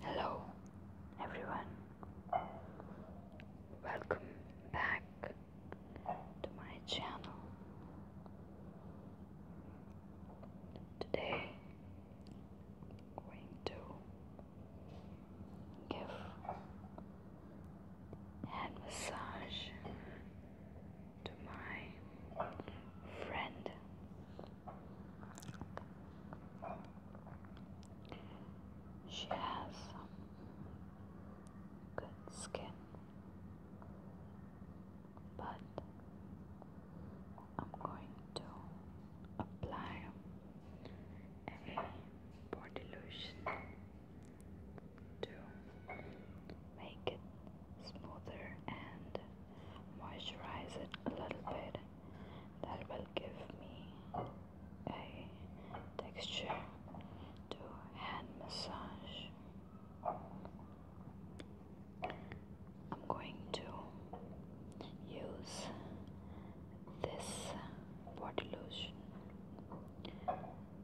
Hello, everyone. Welcome back to my channel. Today, I'm going to give hand massage to my friend she has some good skin, but I'm going to apply a body lotion to make it smoother and moisturize it a little bit that will give me a texture to hand massage I'm going to use this body lotion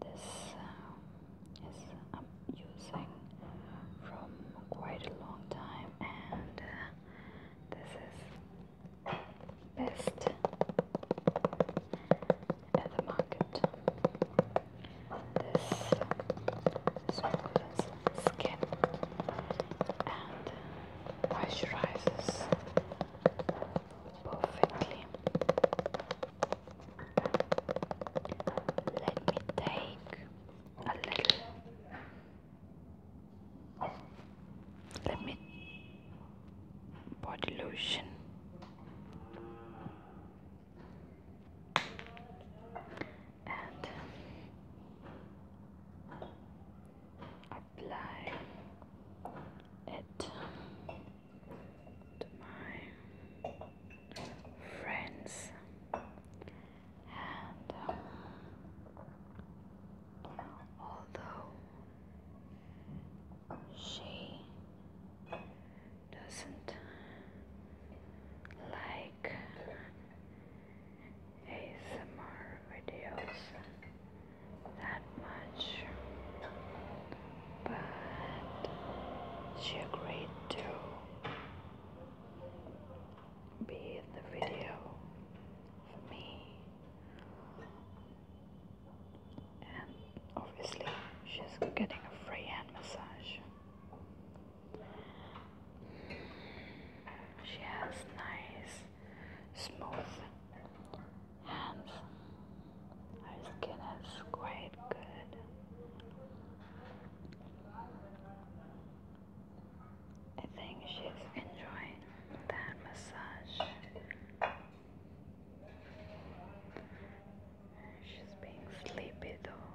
this um, Yes, I'm using from quite a long time, and uh, this is best at the market. This smoothens skin and moisturizes perfectly. Let me take a little. Let me body lotion. And apply it to my friends and um, although she doesn't like ASMR videos that much, but she agreed to be in the video for me, and obviously, she's getting a free hand massage. She has nice, smooth and our skin is quite good. I think she's enjoying that massage. She's being sleepy though.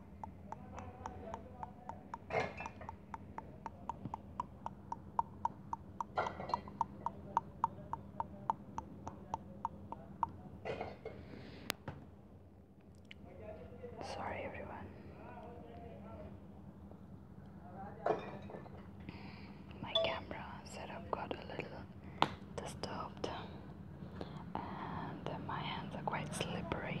Sorry, everyone. My camera setup got a little disturbed and my hands are quite slippery.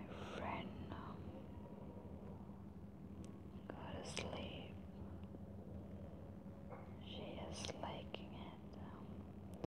My friend, um, got to sleep. She is liking it.